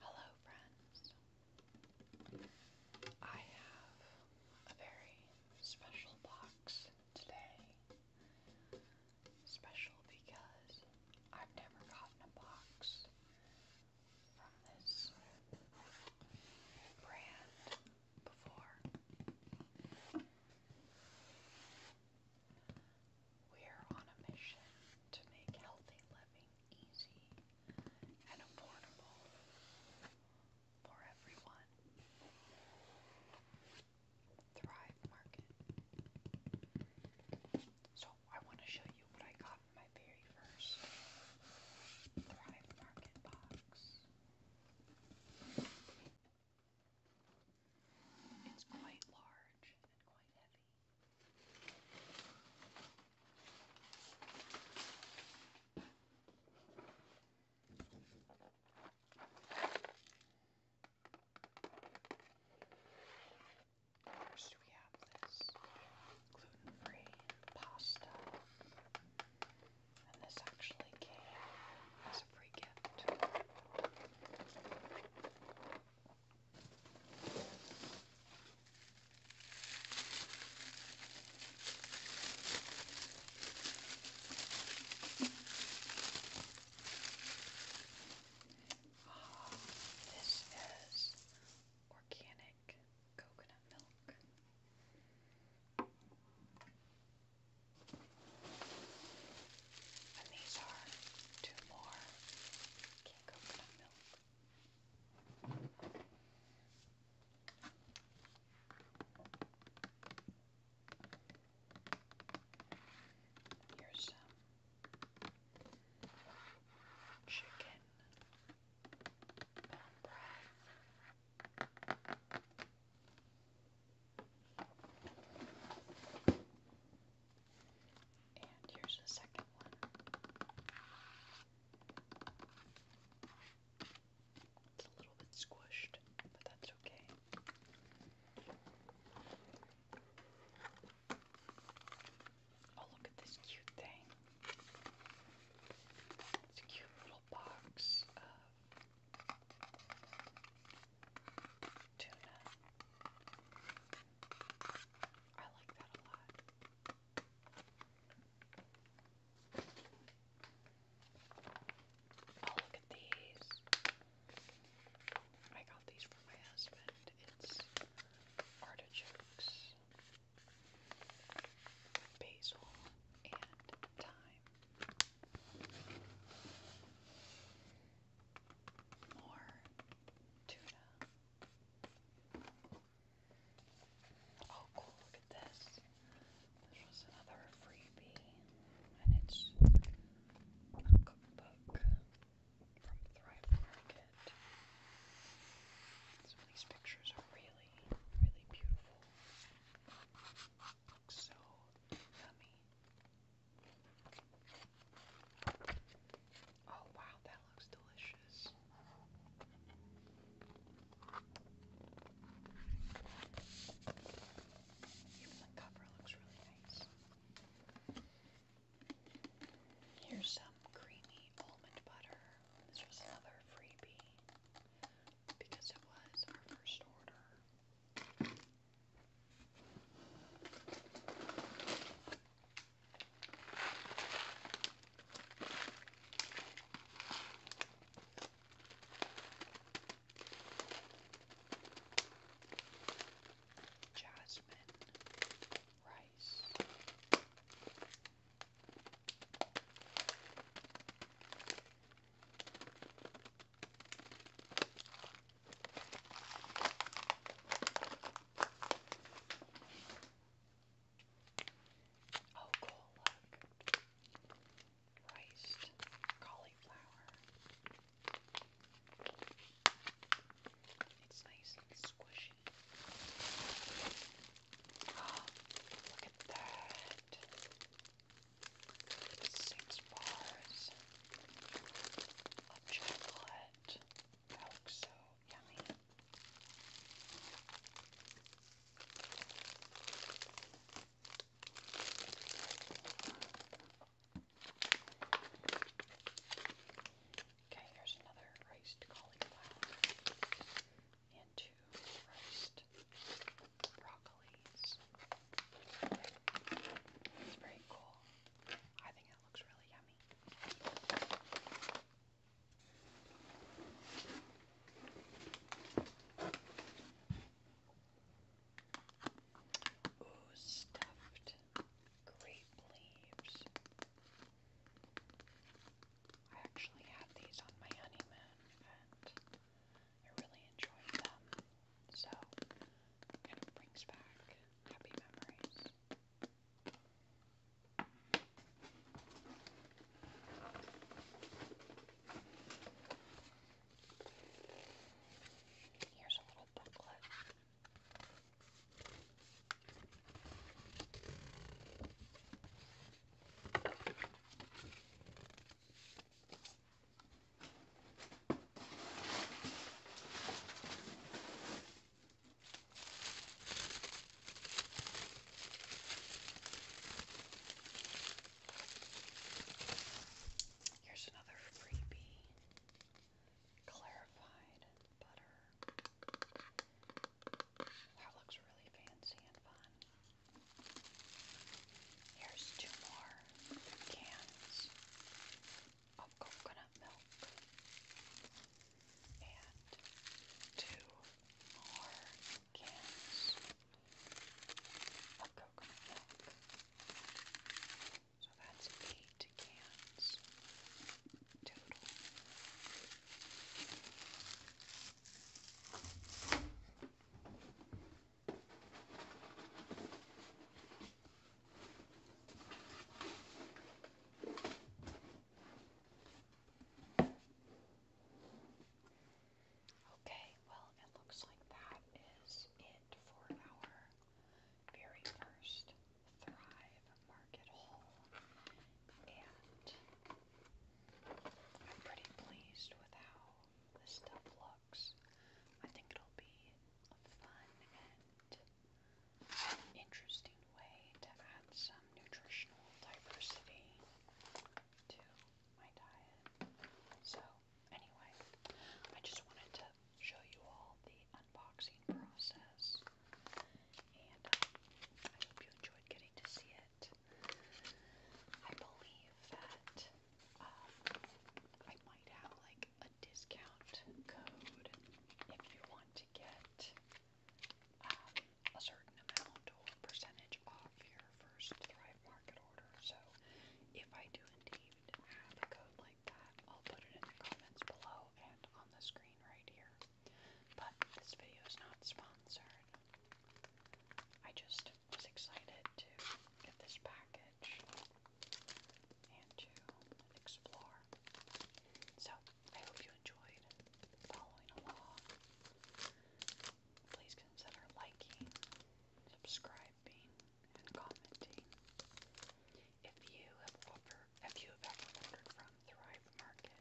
Hello, friends. I have a very special box today. Special because I've never gotten a box from this brand before. We're on a mission to make healthy living easy and affordable for everyone. Thrive Market. So I want to show you what I got in my very first Thrive Market box. It's quite large and quite heavy. First, we have this gluten free pasta, and this actually came it's a ah, this is organic coconut milk. And these are two more king coconut milk. Here's some chicken bone broth. And here's the second one. It's a little bit squished, but that's okay. Oh, look at this cute thing. It's a cute little box tuna. I like that a lot. Oh, look at these. I got these for my husband. It's artichokes, basil, and thyme. More tuna. Oh, cool, look at this. This was another freebie, and it's a cookbook from Thrive Market. Some of these pictures are really, really beautiful. Oh wow, that looks delicious. Even the cover looks really nice. Here's some creamy almond butter. This was another freebie because it was our first order. Jasmine rice. Oh, cool, look. Riced cauliflower. It's nice and squishy. Oh, look at that six bars of chocolate. That oh, looks so yummy. Okay, here's another riced cauliflower into roast broccolis. It's very cool. I think it looks really yummy. Ooh, stuffed grape leaves. I actually had these on my honeymoon, and I really enjoyed them. So, kind of brings back happy memories. Here's a little booklet. Here's another freebie clarified butter. That looks really fancy and fun. Here's two more cans of coconut milk and two more cans of coconut milk. So that's eight cans total. Okay, well, it looks like that is it for our very first Thrive Market Hall, and I'm pretty pleased with how this stuff looks. I think it'll be a fun and interesting way to add some nutritional diversity to my diet. So, anyway, I just wanted to show you all the unboxing process and I hope you enjoyed getting to see it. I believe that um, I might have like a discount code if you want to get um, a certain amount or percentage off your first Thrive Market order. So if I do indeed have a code like that, I'll put it in the comments below and on the screen right here. But this video is not sponsored. I just was excited to get this package and to explore. So, I hope you enjoyed following along. Please consider liking, subscribing, and commenting. If you have offer, if you have ever ordered from Thrive Market,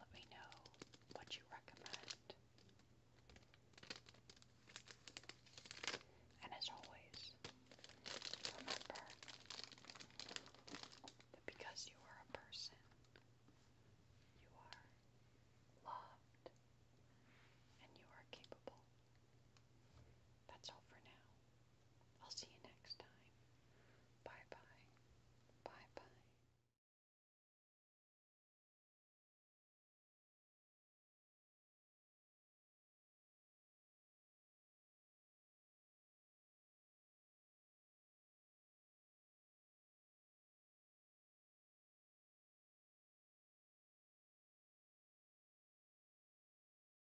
let me know what you recommend. And as always, remember that because you are a person, you are loved and you are capable. That's all for now. I'll see you next time. Bye bye. Bye bye.